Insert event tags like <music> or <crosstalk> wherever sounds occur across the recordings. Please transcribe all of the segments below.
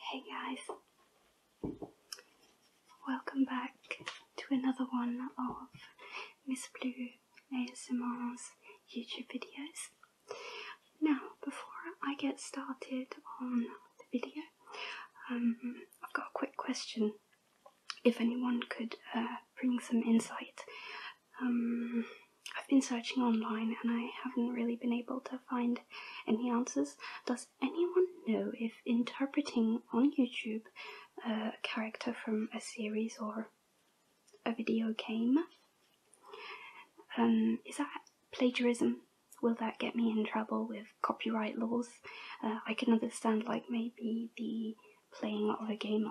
Hey guys, welcome back to another one of Miss Blue ASMR's YouTube videos. Now, before I get started on the video, um, I've got a quick question. If anyone could uh, bring some insight, um, I've been searching online and I haven't really been able to find any answers. Does anyone know if interpreting on YouTube uh, a character from a series or a video game um, is that plagiarism? Will that get me in trouble with copyright laws? Uh, I can understand, like, maybe the playing of a game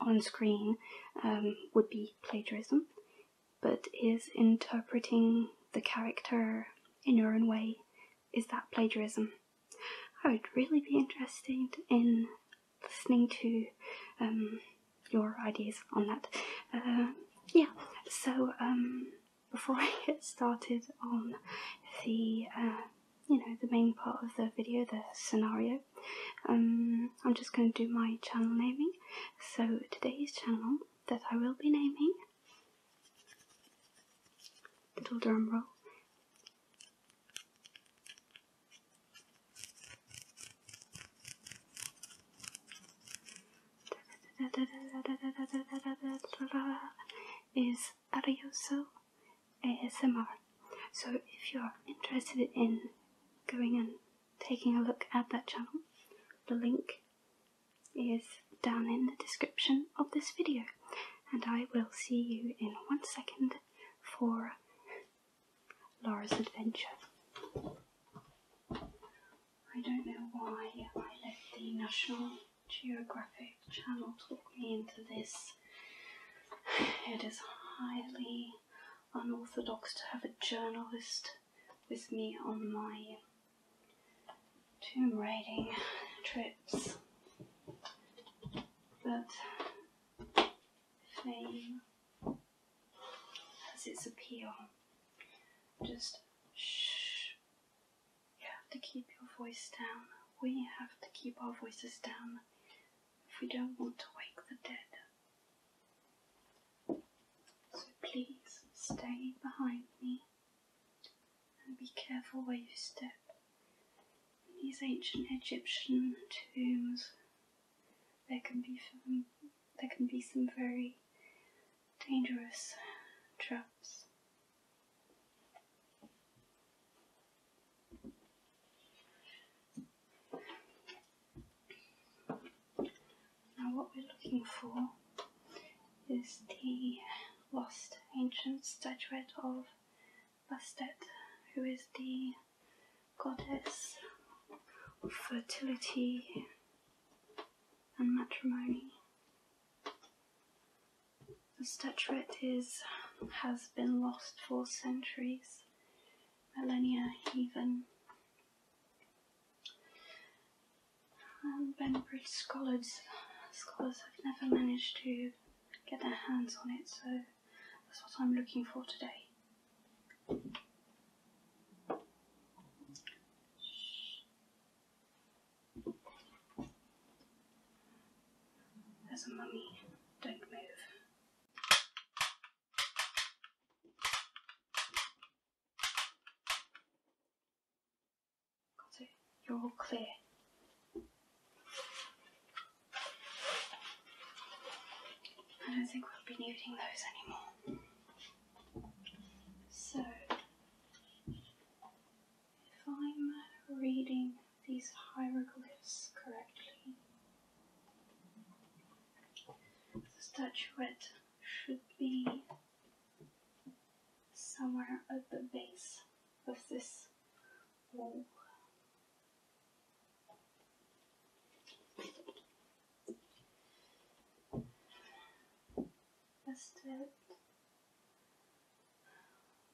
on screen um, would be plagiarism, but is interpreting the character in your own way, is that plagiarism? I would really be interested in listening to um, your ideas on that. Uh, yeah, so um, before <laughs> I get started on the uh, you know the main part of the video, the scenario, um, I'm just going to do my channel naming. So today's channel that I will be naming, little drum roll, is Arioso ASMR. So if you're interested in going and taking a look at that channel, the link is down in the description of this video. And I will see you in one second for Laura's adventure. I don't know why I let the National Geographic channel talk me into this. It is highly unorthodox to have a journalist with me on my tomb raiding trips. But fame has its appeal. Just shh. You have to keep your voice down. We have to keep our voices down if we don't want to wake the dead. So please stay behind me and be careful where you step. In these ancient Egyptian tombs, there can be some, there can be some very dangerous traps. Now, what we're looking for is the lost ancient statuette of Bastet, who is the goddess of fertility and matrimony. The statuette is, has been lost for centuries, millennia even. Um, and Ben scholars, scholars have never managed to get their hands on it, so that's what I'm looking for today. There's a mummy. Don't move. Got it. You're all clear. I don't think we'll be needing those anymore. So, if I'm reading these hieroglyphs correctly, the statuette should be somewhere at the base of this wall. Estet,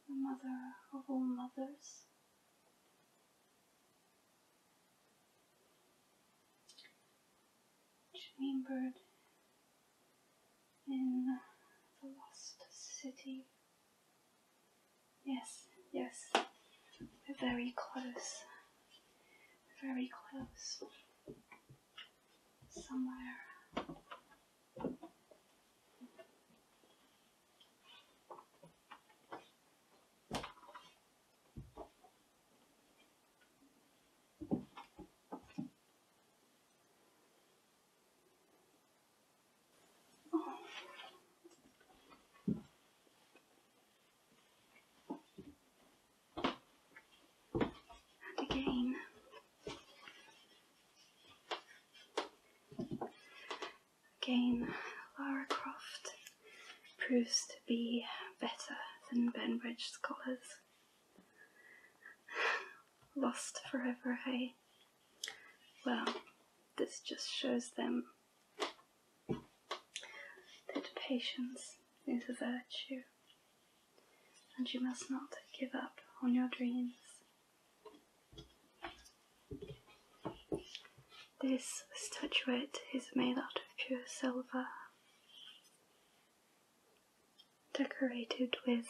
the mother of all mothers. Chambered in the lost city. Yes, yes, we're very close. very close somewhere. And again. Again, Lara Croft proves to be better than Benbridge scholars. Lost forever, hey? Well, this just shows them that patience is a virtue, and you must not give up on your dreams. This statuette is made out of pure silver, decorated with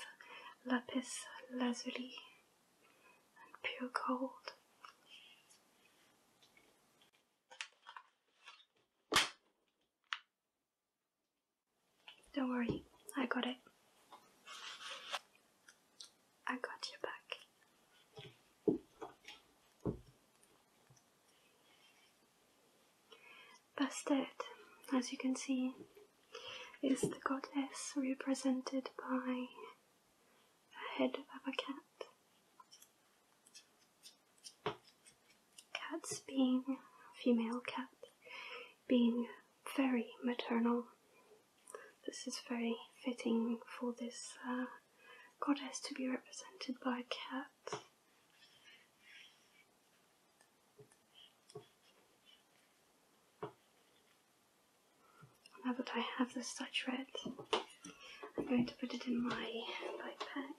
lapis lazuli and pure gold. Don't worry, I got it. I got your back. Bastet, as you can see, is the goddess represented by the head of a cat. Cats being female cat being very maternal. This is very fitting for this uh, goddess to be represented by a cat. Now that I have the statuette, I'm going to put it in my backpack.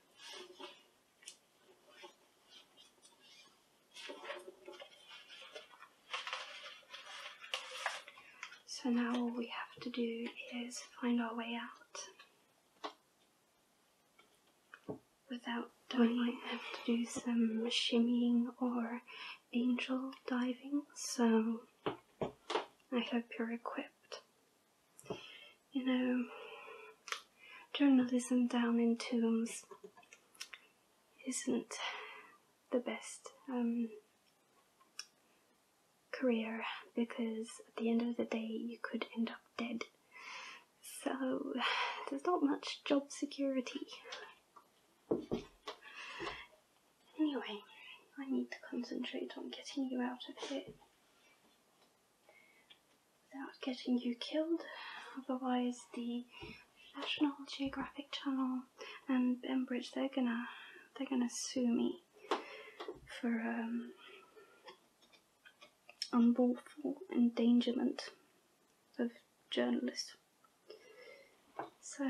So now all we have to do is find our way out without doing like have to do some shimmying or angel diving so I hope you're equipped you know, journalism down in tombs isn't the best um, career because at the end of the day you could end up dead. So there's not much job security. Anyway, I need to concentrate on getting you out of here without getting you killed. Otherwise, the National Geographic Channel and benbridge they're gonna they're gonna sue me for um, unlawful endangerment of journalists. So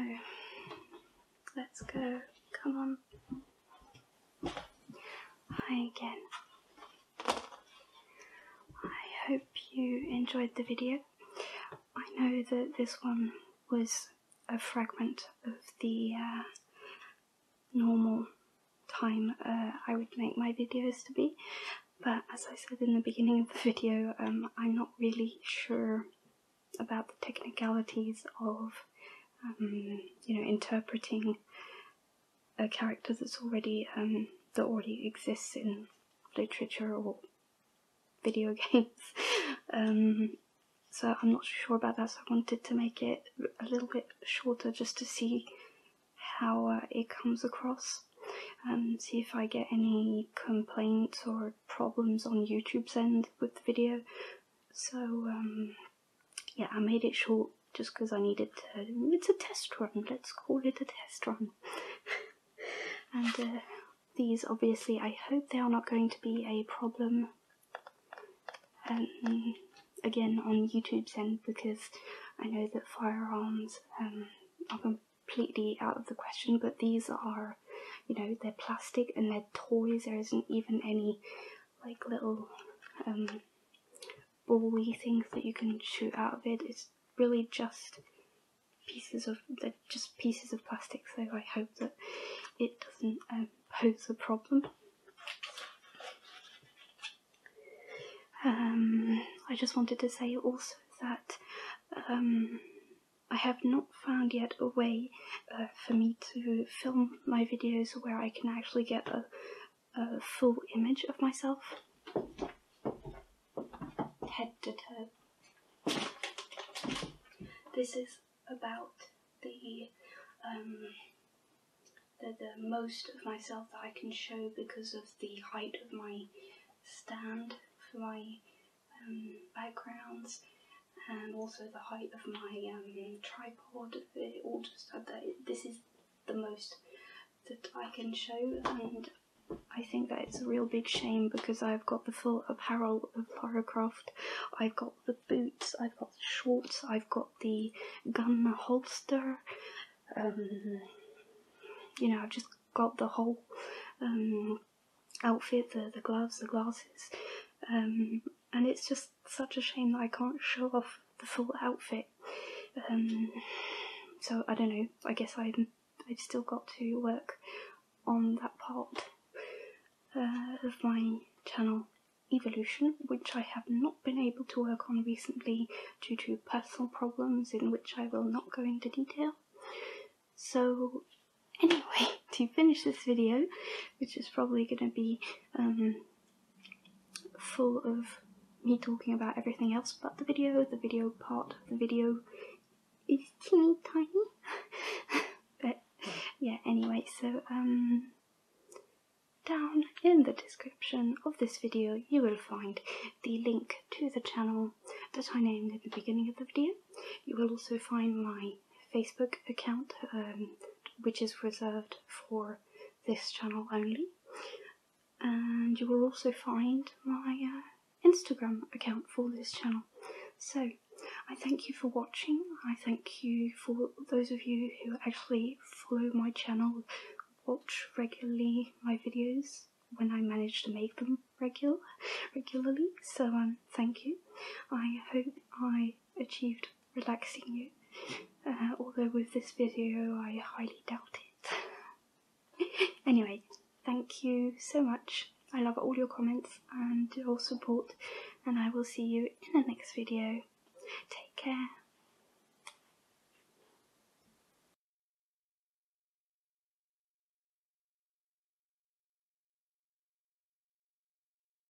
let's go. Come on. Hi again. I hope you enjoyed the video. I know that this one was a fragment of the uh, normal time uh, I would make my videos to be, but as I said in the beginning of the video, um, I'm not really sure about the technicalities of um, you know, interpreting a character that's already um, that already exists in literature or video <laughs> games. Um, so I'm not sure about that. So I wanted to make it a little bit shorter just to see how uh, it comes across. and see if I get any complaints or problems on YouTube's end with the video. So yeah, I made it short just because I needed to. It's a test run, let's call it a test run. <laughs> and uh, these, obviously, I hope they are not going to be a problem um, again on YouTube end because I know that firearms um, are completely out of the question, but these are, you know, they're plastic and they're toys, there isn't even any like little um, things that you can shoot out of it. It's really just pieces of they just pieces of plastic. So I hope that it doesn't um, pose a problem. Um, I just wanted to say also that um, I have not found yet a way uh, for me to film my videos where I can actually get a, full image of myself head to toe. This is about um, the, the, most of myself that I can show because of the height of my stand for my um, backgrounds and also the height of my um, tripod. It all just this is the most that I can show, and I think that it's a real big shame because I've got the full apparel of Lara Croft. I've got the boots, I've got the shorts, I've got the gun holster. Um, you know, I've just got the whole um, outfit, the, the gloves, the glasses and it's just such a shame that I can't show off the full outfit. Um, so I don't know. I guess I'm I've still got to work on that part uh, of my channel evolution, which I have not been able to work on recently due to personal problems in which I will not go into detail. So anyway, <laughs> to finish this video, which is probably going to be um, full of me talking about everything else but the video. The video part of the video is teeny tiny. <laughs> but yeah, anyway, so um, down in the description of this video you will find the link to the channel that I named at the beginning of the video. You will also find my Facebook account, um, which is reserved for this channel only. And you will also find my uh, Instagram account for this channel. So, I thank you for watching. I thank you for those of you who actually follow my channel, watch regularly my videos when I manage to make them regular regularly. So um, thank you. I hope I achieved relaxing you, <laughs> uh, although with this video I highly doubt it. <laughs> anyway, thank you so much. I love all your comments and your support, and I will see you in the next video. Take care.